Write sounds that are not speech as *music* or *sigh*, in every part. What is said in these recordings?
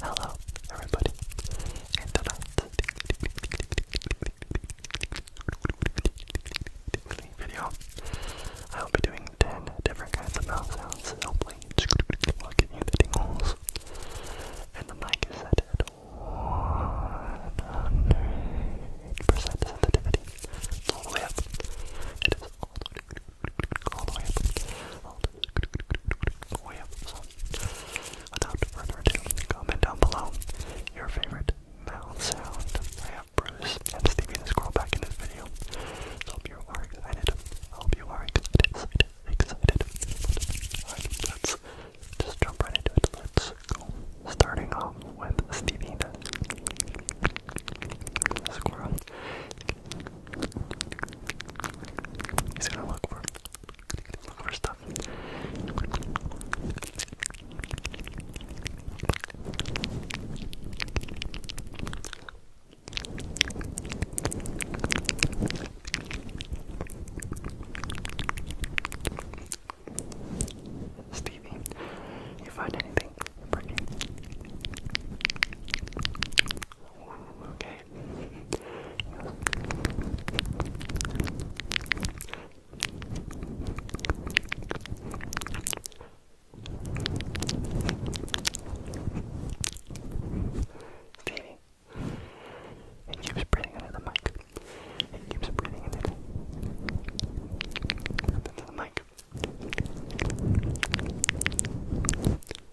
Hello, everybody, and tonight's video, I will be doing 10 different kinds of mouth sounds, hopefully will give you the tingles, and the mic is set at 100% sensitivity, all the way up, it is all the way all the way up, all the way up. So, without further ado, comment down below your favorite mouth sound. I have Bruce and Stevie the Squirrel back in this video. So hope you are excited. I hope you are excited, excited, excited. Alright, let's just jump right into it. Let's go. Starting off with Stevie the Squirrel. He's gonna look for look for stuff. Stevie, you find anything pretty? Okay. Stevie. It keeps breathing into the mic. It keeps breathing into the, into the mic.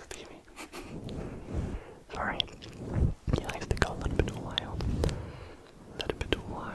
Stevie. *laughs* Sorry. He likes to go a little bit wild. A little bit wild.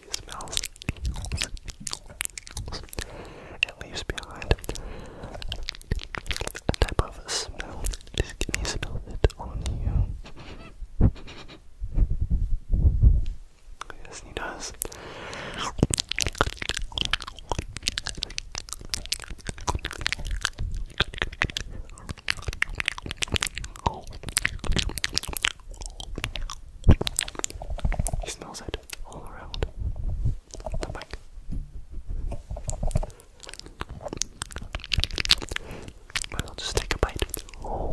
he leaves behind a type of smell. Just can you smell it on you? Yes, he does. He smells it all around the mic. Might as well just take a bite. Oh.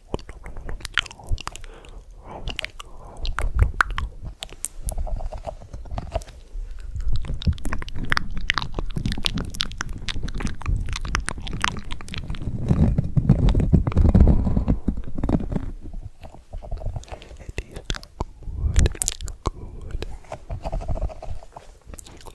It is good, good.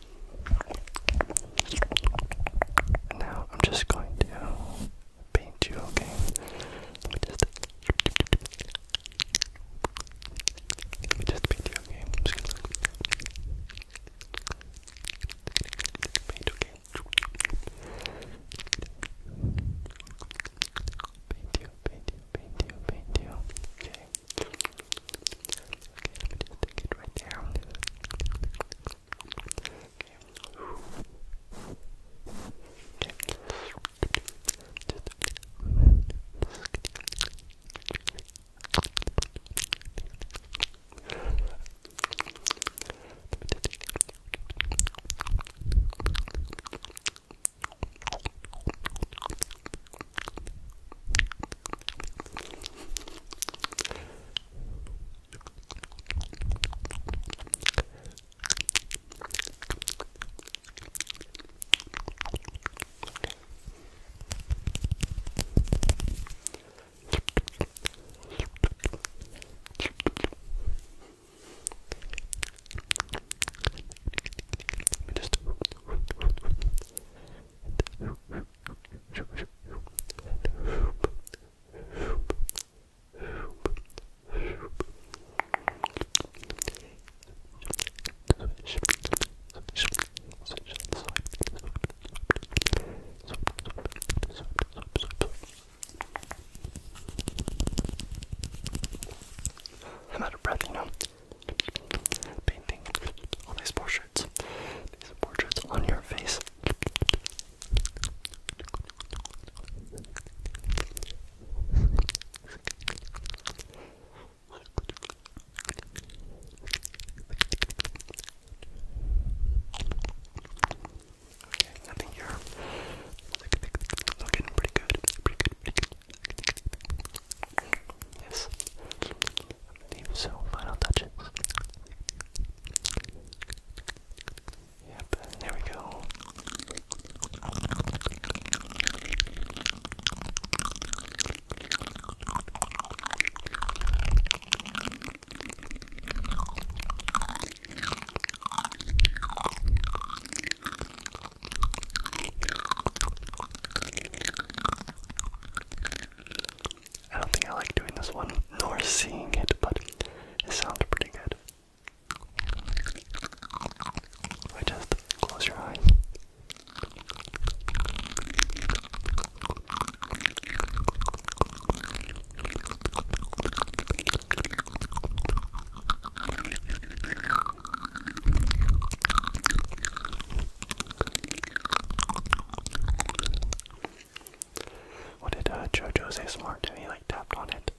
now I'm just going to paint you, okay? just paint you, okay? just gonna okay? Paint you, paint you, paint you, paint you, okay? Okay, let me just stick it right there. Okay. Okay. Okay. Let me just I'm out of breath, you know. Painting all these portraits. These are portraits on your face. Okay, nothing here. Looking pretty good. Pretty good. Pretty good. Yes. Leave so final touches. Yep, there we go. I don't think I like doing this one nor seeing it, but it sounds pretty good. just close your eyes. What did uh, say? Smart do? He like tapped on it.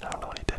I don't know what he did.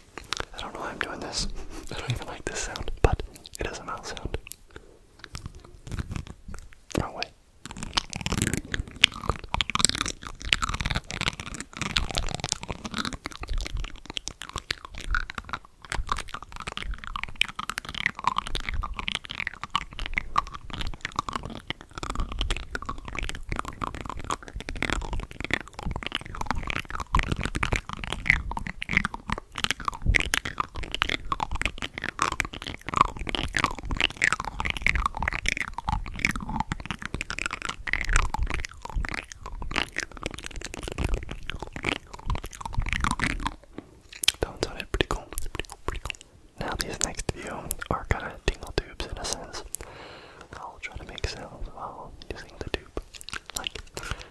I don't know why I'm doing this. *laughs* I don't even like this sound, but it is a mouth sound. Oh, wait. Don't sound it pretty cool. Pretty cool, pretty cool. Now these next few are kind of tingle tubes in a sense. I'll try to make sounds while using the tube. Like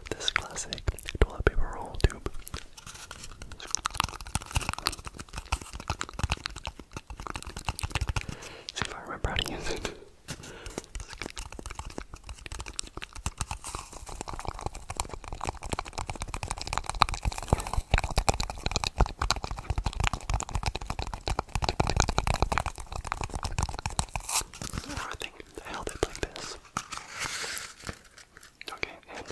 this classic toilet paper roll tube. See if I remember how to use it. I think I held it like this. Okay, and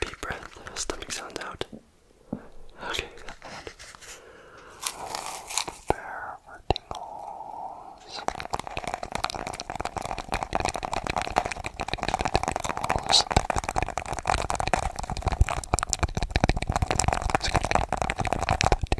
deep breath, stomach sounds out. Okay, and oh, there are tingles. tingles. Tingles.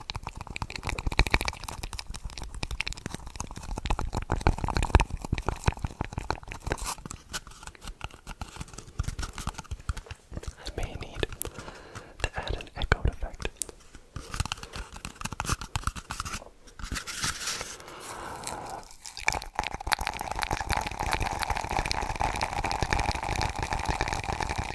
I may need to add an echo effect. And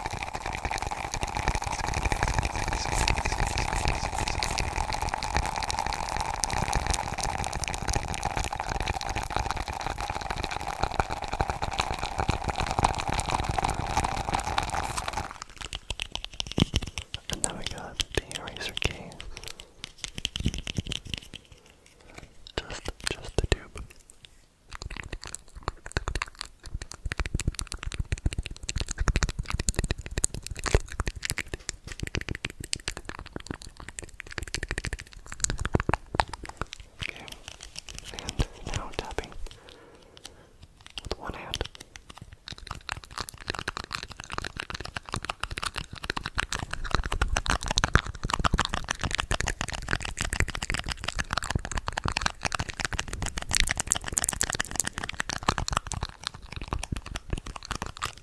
now we got the eraser case. Just, just the tube. Okay, and now tapping with one hand.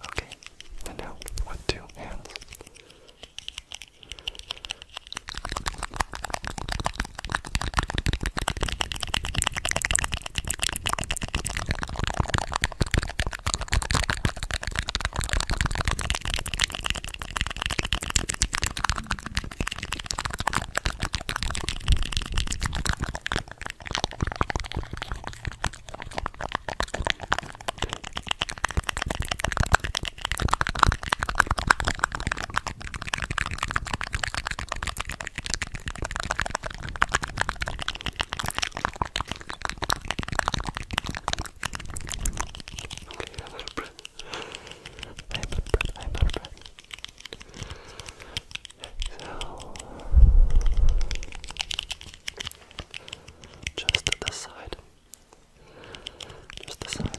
Okay, and now with two hands. I'm out of breath. I'm out of breath. So, just this side, just this side.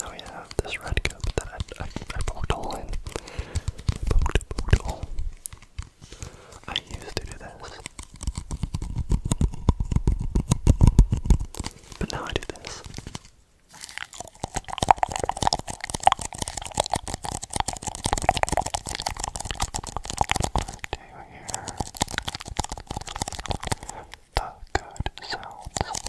Now we have this red cup that I, I, I poked a hole in. I poked, poked a hole. I used to do this. But now I do this. Do you good sounds good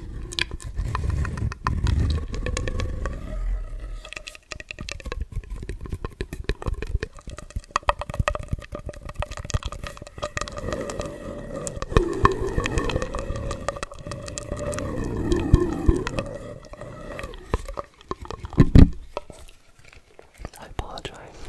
I apologize.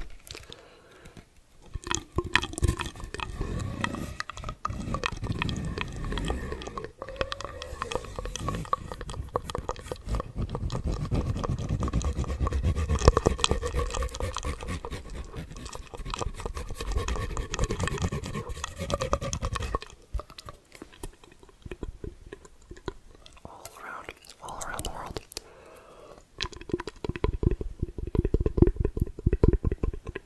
All around, all around the world.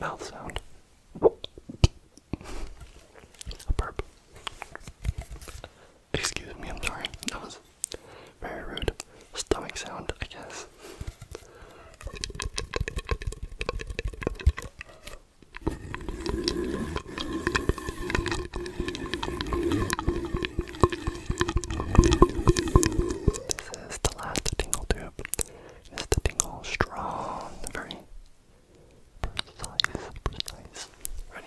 Mouth sound. A burp. Excuse me, I'm sorry. That was very rude. Stomach sound, I guess. This is the last tingle tube. Is the tingle strong? Very precise, precise. Ready?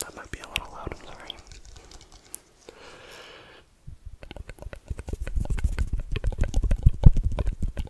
That might be a little loud, I'm sorry.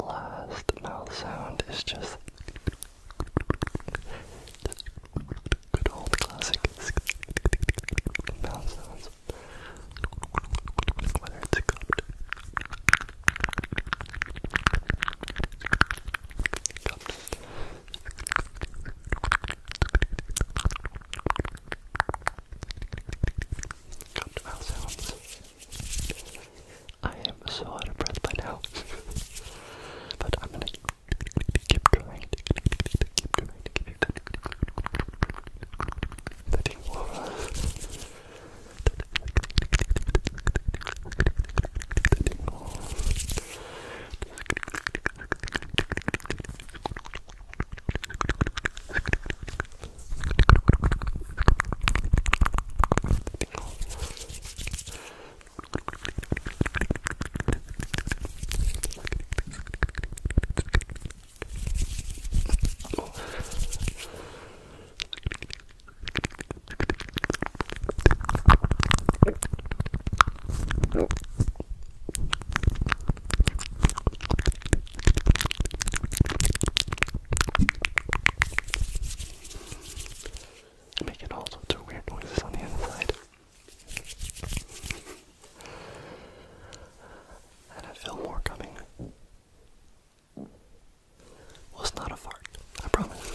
Last mouth sound is just good old classic mouth sounds. I am so out of breath by now, *laughs* but I'm gonna Keep going. Keep going. Letting water. Letting water. Letting I'm making all sorts of weird noises on the inside. And I feel more coming. Well, not a fart, I promise.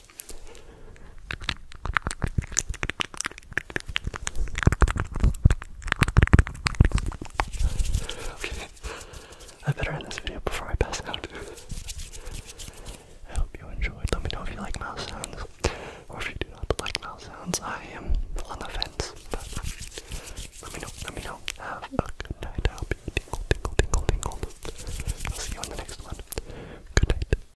Okay, I better end this video before I pass out. I hope you enjoyed. Let me know if you like mouse sounds, or if you do not like mouse sounds. I am on the fence, let me know. Let me know. Have a good night. tingle, tingle, tingle, tingle. I'll see you on the next one. Good night.